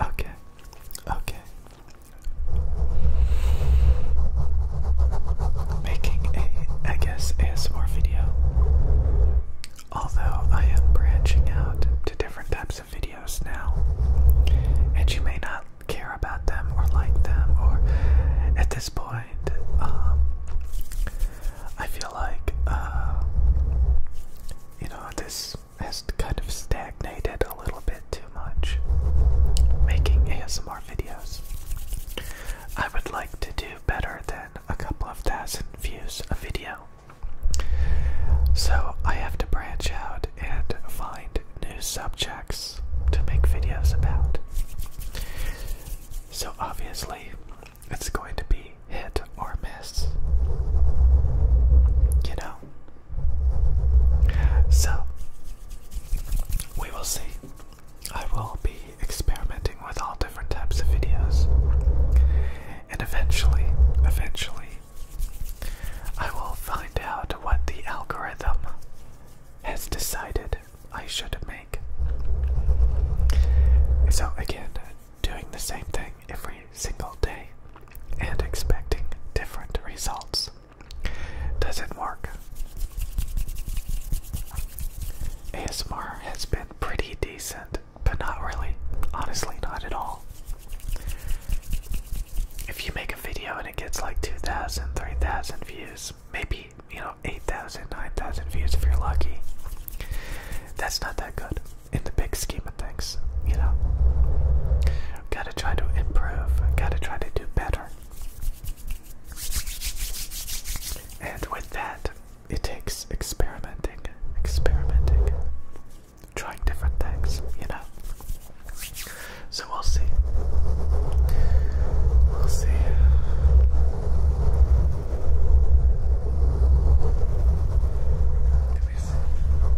Okay, okay. Making a, I guess, ASMR video. Although I am branching out to different types of videos now, and you may not care about them or like them, or at this point, um, I feel like uh, you know, this has kind of stagnated a little bit too much making ASMR videos. I would like to do better than a couple of thousand views a video. So I have to branch out and find new subjects to make videos about. So obviously, it's going to be hit or miss. You know? So, we will see. I will be experimenting with all different types of videos. And eventually, eventually, I will find out what the algorithm has decided I should make. So, again, doing the same thing every single day and expecting different results doesn't work. ASMR has been pretty decent, but not really. Honestly, not at all. If you make a video and it gets like 2,000, 3,000 views, maybe, you know, 8,000, 9,000 views if you're lucky, that's not that good in the big scheme of things, you know. Gotta try to improve, gotta try to do better. And with that, it takes experimenting, experimenting, trying different things, you know. So we'll see. We'll see please. Um,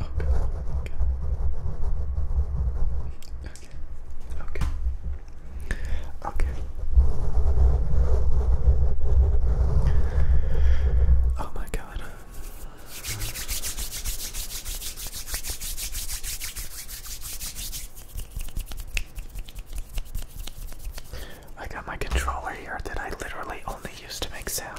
okay, okay, okay, okay, okay. Oh my God. I got my controller here that I literally only use to make sounds.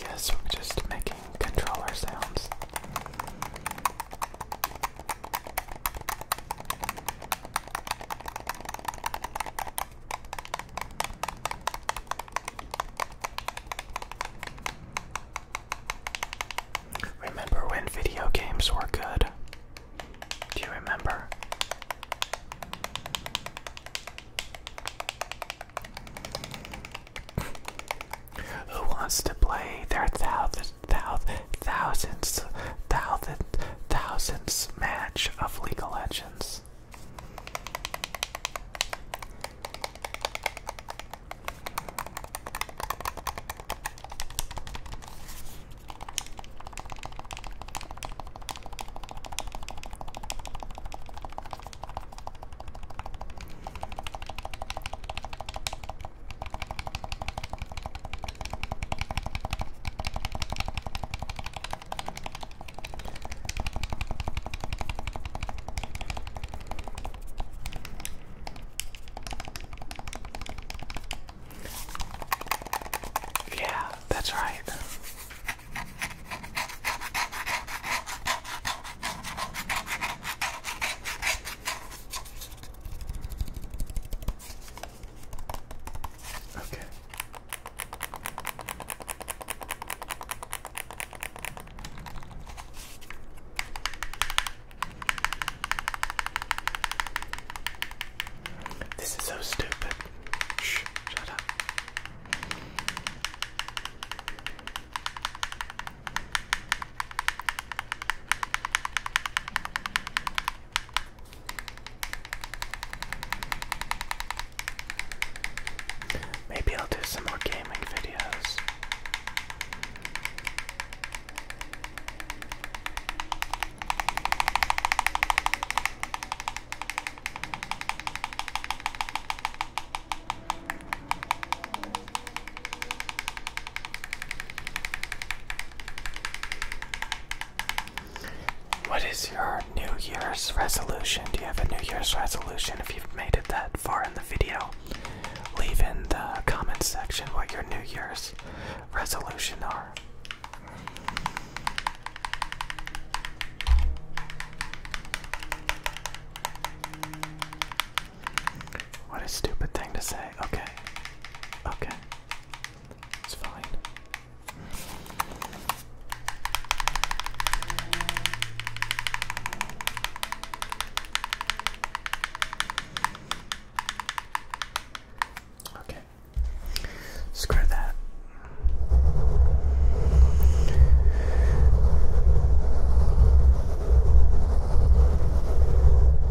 Yes, we're just making controller sounds. Remember when video games were good? Do you remember? Who wants to play their thousand thousands, thousands, thousands match of League of Legends. Yeah, that's right. Okay. This is so stupid. Shh, shut up. Maybe I'll do some more gaming videos. What is your New Year's resolution? Do you have a New Year's resolution? If you've made it that far in the video, leave in the comment section what your New Year's resolution are. What a stupid thing to say. Okay. Okay. It's fine. Okay. Screw that.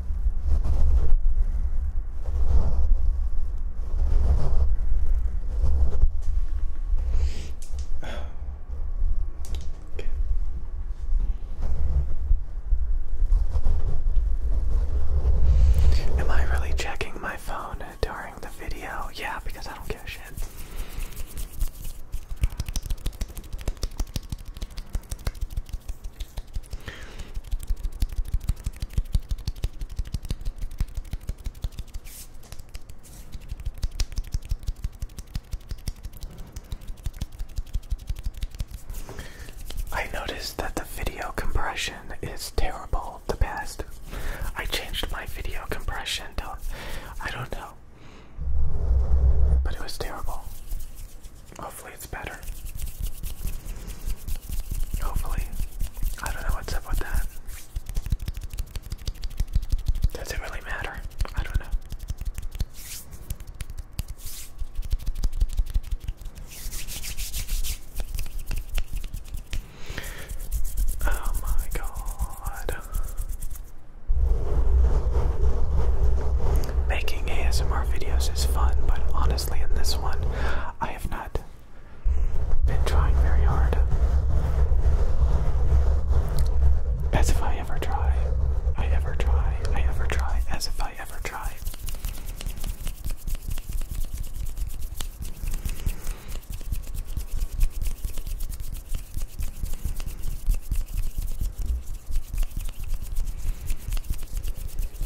Okay. Am I really checking my phone during the video? Yeah, because I don't give a shit. I noticed that the video compression is terrible the past. I changed my video compression to I don't know. But it was terrible. Hopefully it's better. Hopefully. I don't know what's up with that. Does it really matter? I don't know. Oh my god. Making ASMR videos is fun, but honestly, in this one, I have not been trying very hard. As if I ever try. I ever try. I ever try. As if I ever try.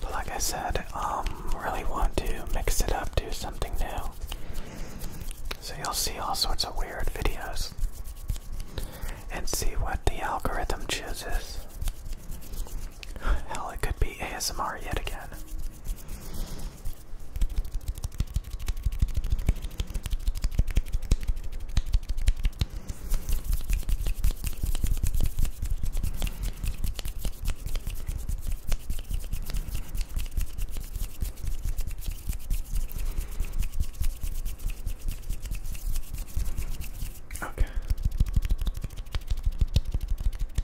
But like I said, um, really want to mix it up, do something new. So you'll see all sorts of weird videos and see what the algorithm chooses. Hell, it could be ASMR yet again. Okay.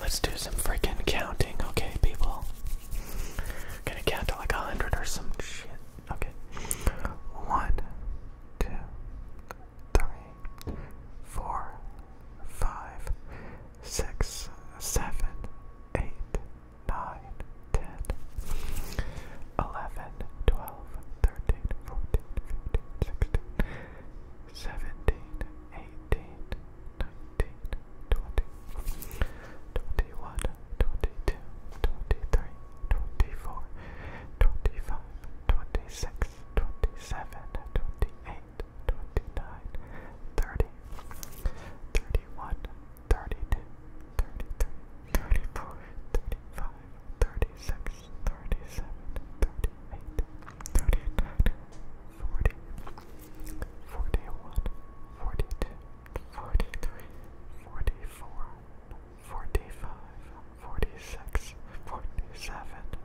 Let's do some freaking counting, okay, people? gonna count to like a hundred or some shit. Okay. One, two, three, four, 5, 6, 7, 8, 9, 10, 11, 12, 13, 14, 15, 16, 17, 18, 19, 20, 21, 22, 23, 24, 25, 26, 27, 28, 29, 31, 32, 33, 34, 35, 36, 37, 38, 39, 40, 41, 42, 43, 44, 45, 46, 47,